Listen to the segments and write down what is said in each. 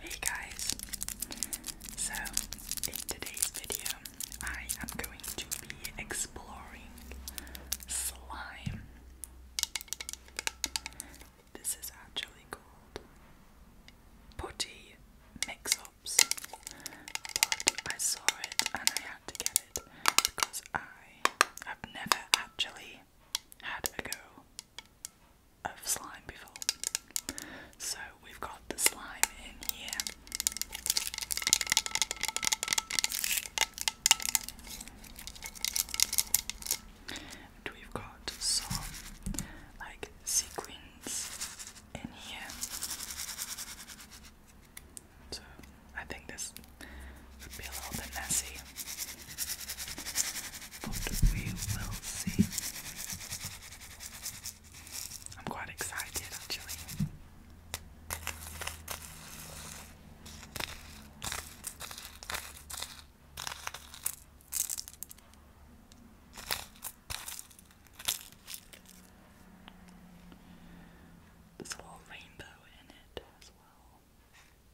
Hey guys! So, in today's video, I am going to be exploring slime. This is actually called putty mix ups, but I saw it and I had to get it because I have never actually had a go of slime before. So we've got the slime in here. And we've got some like sequins in here. So I think this would be a little bit messy but we will see. I'm quite excited actually. There's a little rainbow in it as well.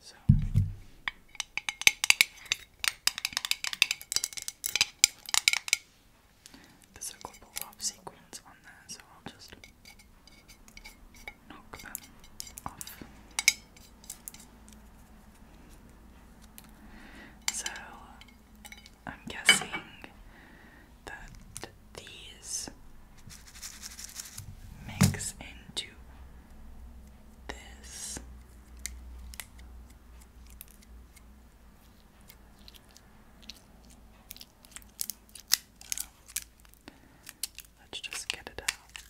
so there's a couple of sequins on there, so I'll just knock them off. So I'm guessing that these mix into this. Let's just get it out. It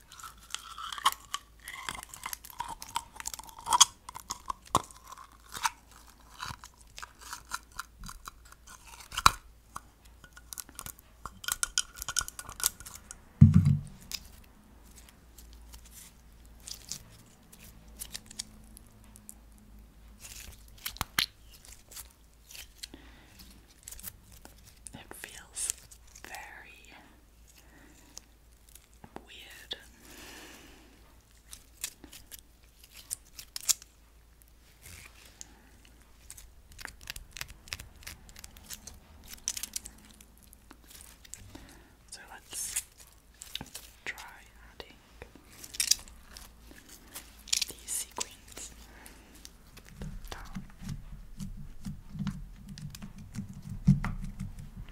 feels very weird. So let's try adding these sequins down.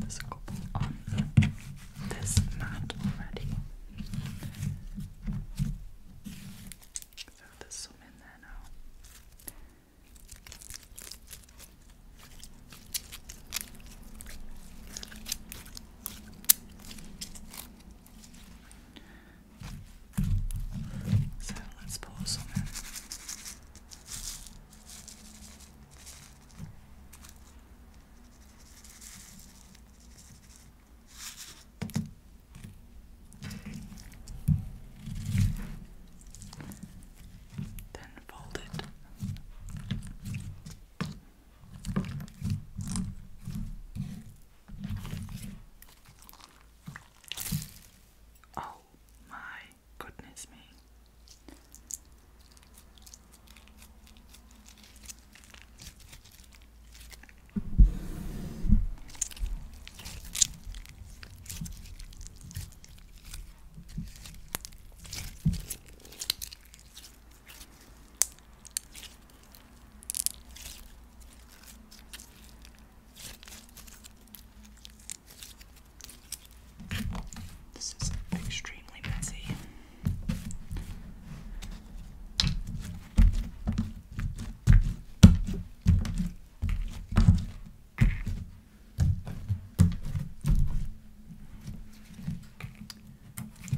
There's a couple on this mat already. So there's some in there now. So let's pour some in. Then fold it. Oh, my goodness me. This is extremely messy.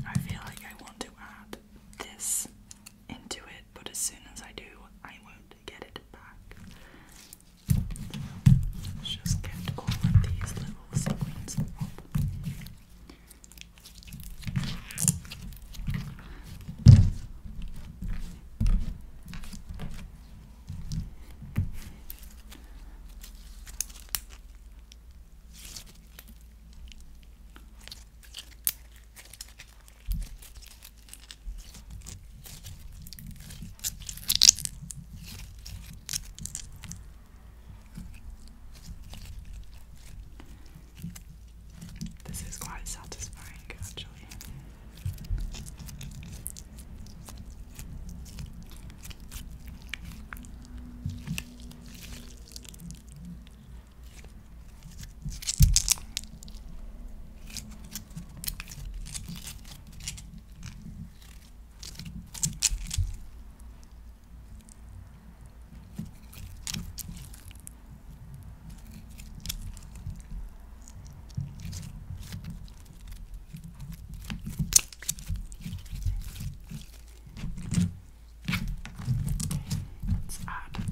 I feel like I want to add this into it, but as soon as I do, I won't get it back. Just get all of these little sequins up. This is quite satisfying, actually. Let's add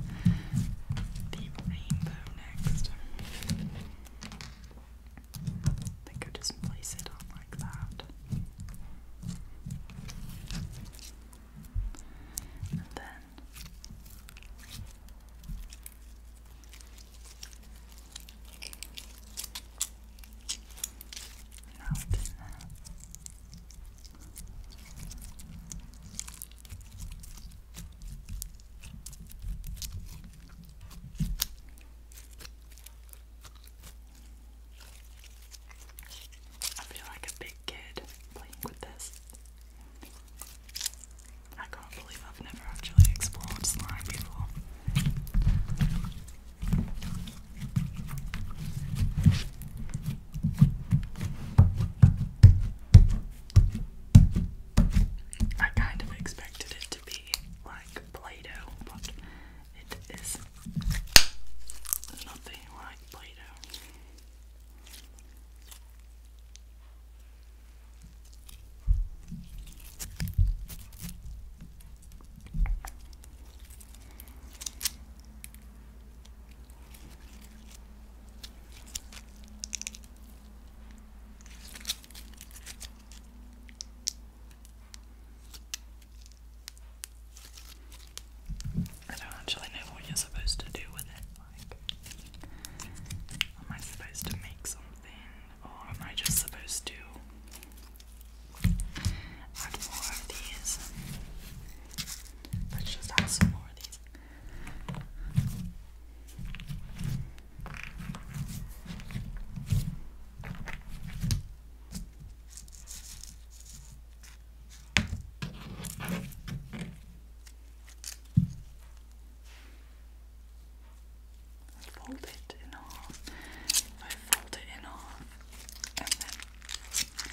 the rainbow next. Okay. I think I just place it on like that. then now I feel like a big kid playing with this. I can't believe I've never actually explored slime before. I kind of expected it to be like Play-Doh, but it is nothing like Play-Doh. I don't actually know what you're supposed to do with it. Like, am I supposed to make something, or am I just supposed to add more of these? Let's just add some more of these. Fold it in half. I fold it in half and then keep it.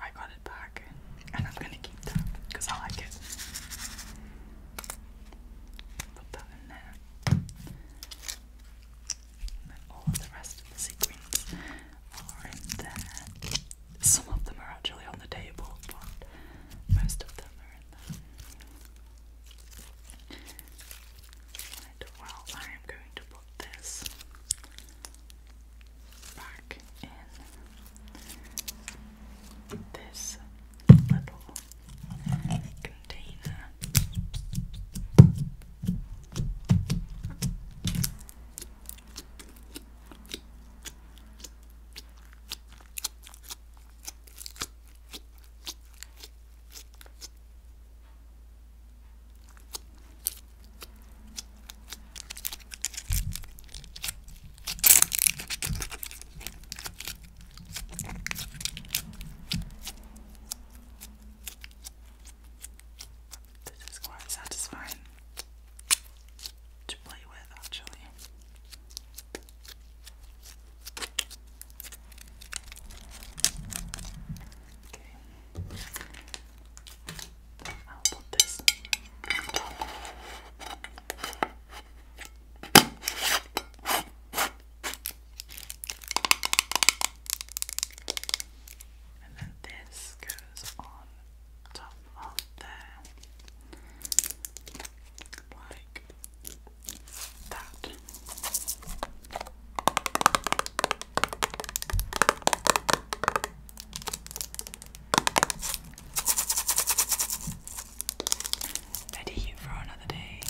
I got it back and I'm gonna keep that because I like it. Put that in there. then all of the rest of the sequins are in there. Some of them are actually on the table, but most of them are in there. Right, well, I am going to put this back in this little container. This is quite satisfying to play with, actually. Okay. I'll put this And then this goes on top of there, like that. Ready for another day.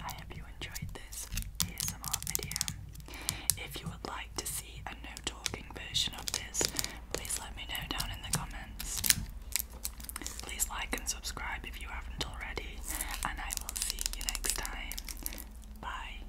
I hope you enjoyed this ASMR video. If you would like to see a no talking version of this, please let me know down in the comments. Please like and subscribe if you haven't already, and I will see you next time. Bye.